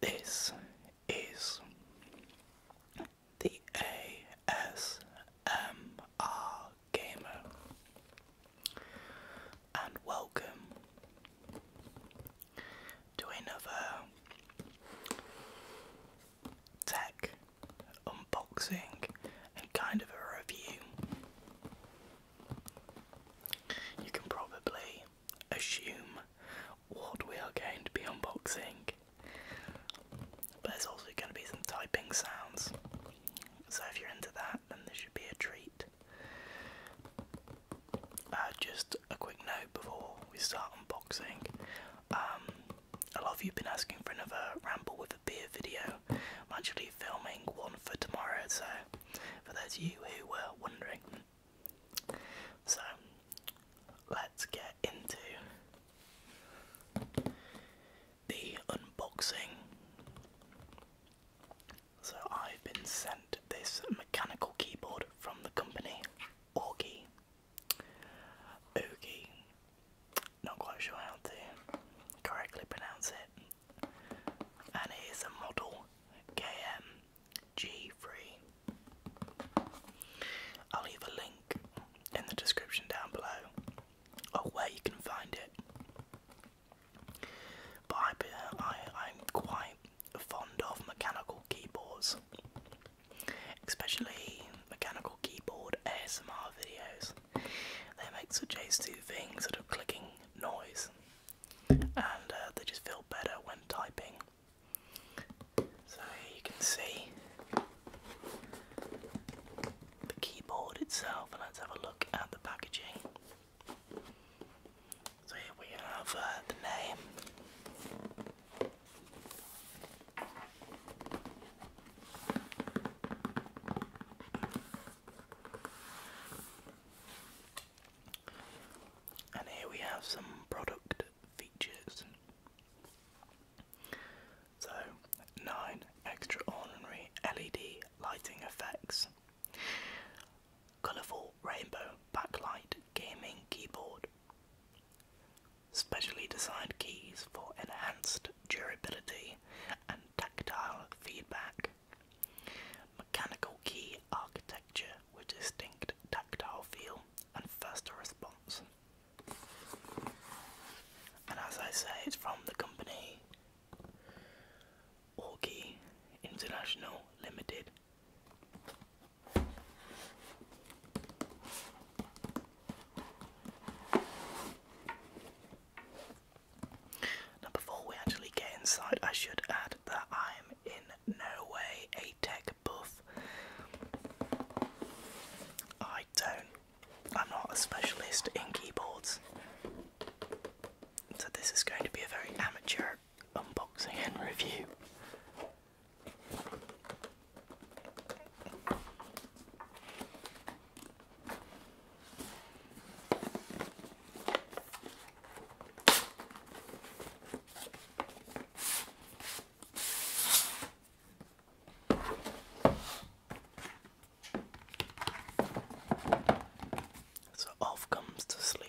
this is the ASMR Gamer, and welcome to another tech unboxing and kind of a review. You can probably assume what we are going to be unboxing. But there's also going to be some typing sounds, so if you're into that, then this should be a treat. Uh, just a quick note before we start unboxing. Um, a lot of you've been asking for another ramble with a beer video. I'm actually filming one for tomorrow, so for those of you who were wondering, so let's get into the unboxing. So I've been sent this mechanical keyboard from the company Orgy. Oogie. Not quite sure how to correctly pronounce it. And it is a model KM G3. I'll leave a link in the description down below of where you can find it. But I, I, I'm quite fond of mechanical keyboards, especially mechanical keyboard ASMR videos. They make such a soothing sort of clicking noise, and uh, they just feel better when typing. So here you can see the keyboard itself, and let's have a look at the packaging. So here we have uh, the name. And here we have some product features. So, 9 extraordinary LED lighting effects, colourful rainbow backlight gaming keyboard, specially designed keys for enhanced durability and tactile feedback, mechanical key architecture with distinct tactile feel and faster response. And as I say, it's from the company Orgy International Limited. before we actually get inside, I should add that I'm in no way a tech buff. I don't. I'm not a specialist in keyboards. So this is going to be a very amateur unboxing and review. So off comes the sleeve.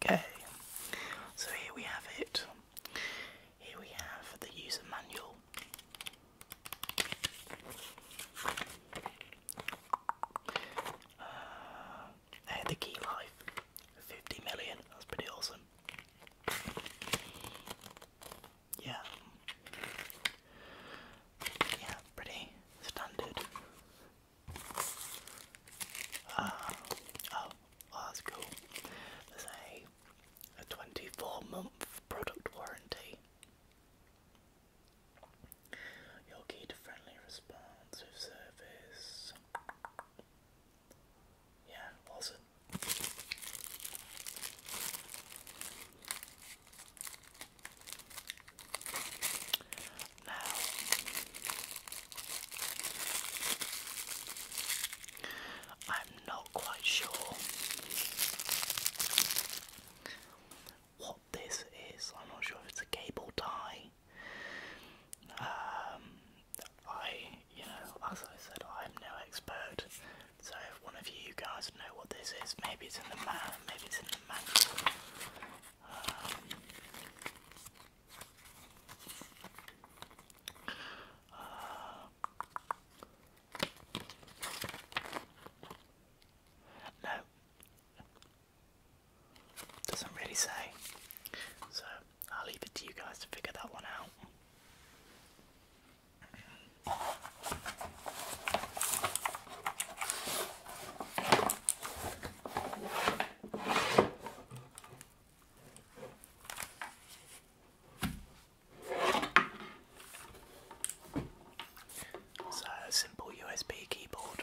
Okay, so here we have it. Here we have the user manual. Uh, the key life. 50 million, that's pretty awesome. Yeah. Yeah, pretty standard. Uh, oh, oh, that's cool. There's a, a 24 month product warranty. Your key friendly responsive service. Yeah, well said. Now, I'm not quite sure what this is. I'm not sure if it's a cable tie um, I, you know, as I said, I'm no expert. So if one of you guys know what this is, maybe it's in the man, maybe it's in the manual. Um, uh, no, doesn't really say. So I'll leave it to you guys to figure that one out. So a simple USB keyboard.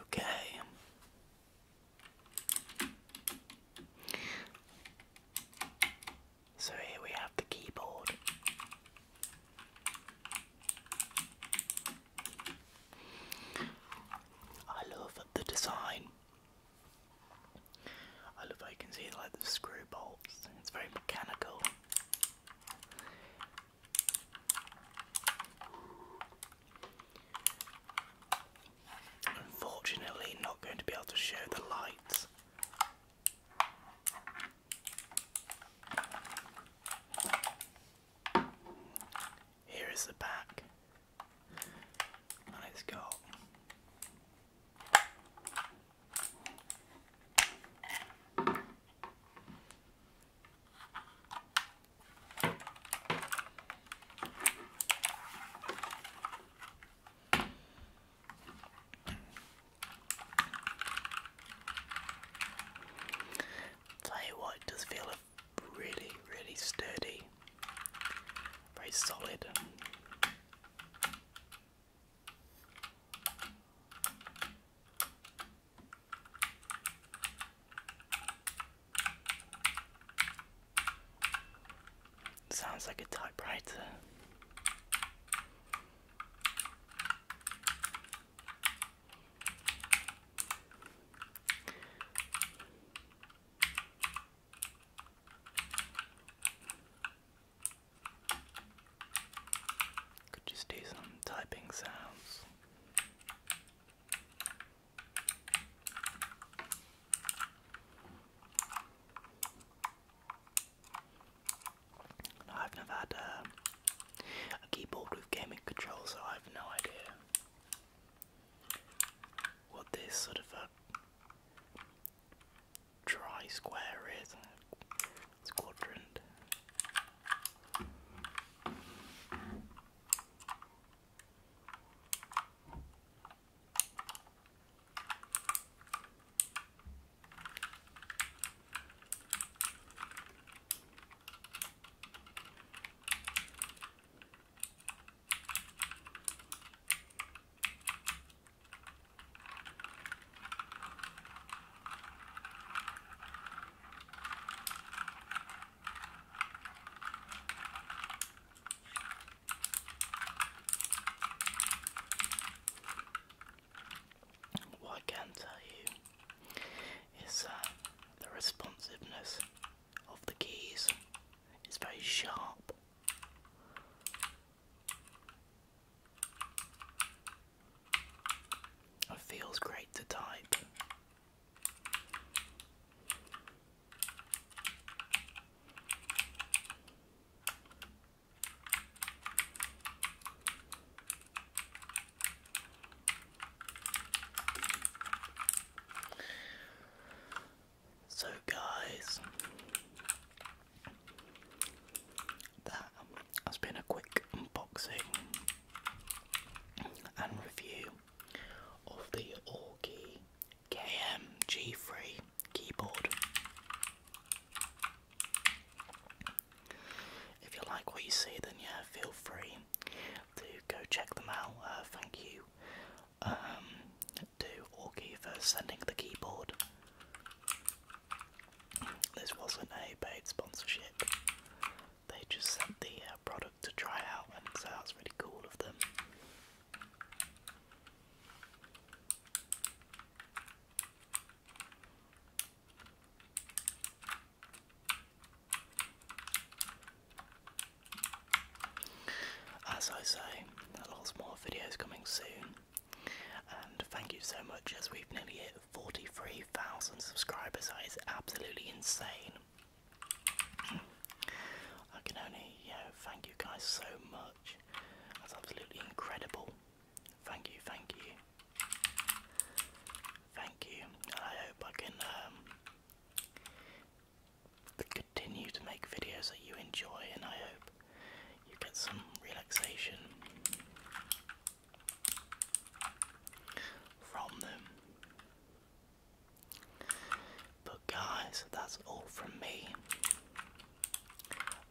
Okay. So here we have the keyboard. I love the design. I love how can see like the screw bolts. It's very mechanical. Unfortunately, not going to be able to show the lights. Here is the back, and it's got Tell you what, does feel really, really sturdy, very solid. Sounds like a typewriter. Could just do some typing sounds. I've never had a, uh, a keyboard with gaming controls, so I have no idea what this sort of a uh, dry square is quadrant. What I can tell you is that the responsiveness of the keys is very sharp. It feels great to type. So, guys, that has been a quick unboxing and review of the Orgi KMG3 keyboard. If you like what you see, then yeah, feel free to go check them out. Uh, thank you um, to Orgy for sending the keyboard. This wasn't a paid sponsorship. They just sent the uh, product to try out, and so that's really cool of them. As I say, lots more videos coming soon. And thank you so much as we've nearly hit 43,000 subscribers. That is absolutely insane. I can only yeah, thank you guys so much. That's absolutely incredible. Thank you, thank you. Thank you. I hope I can um, continue to make videos that you enjoy and I hope you get some relaxation from them. But, guys, that's all from me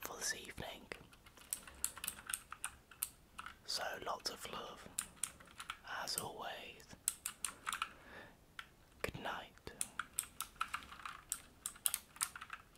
for this evening. So, lots of love, as always. Good night.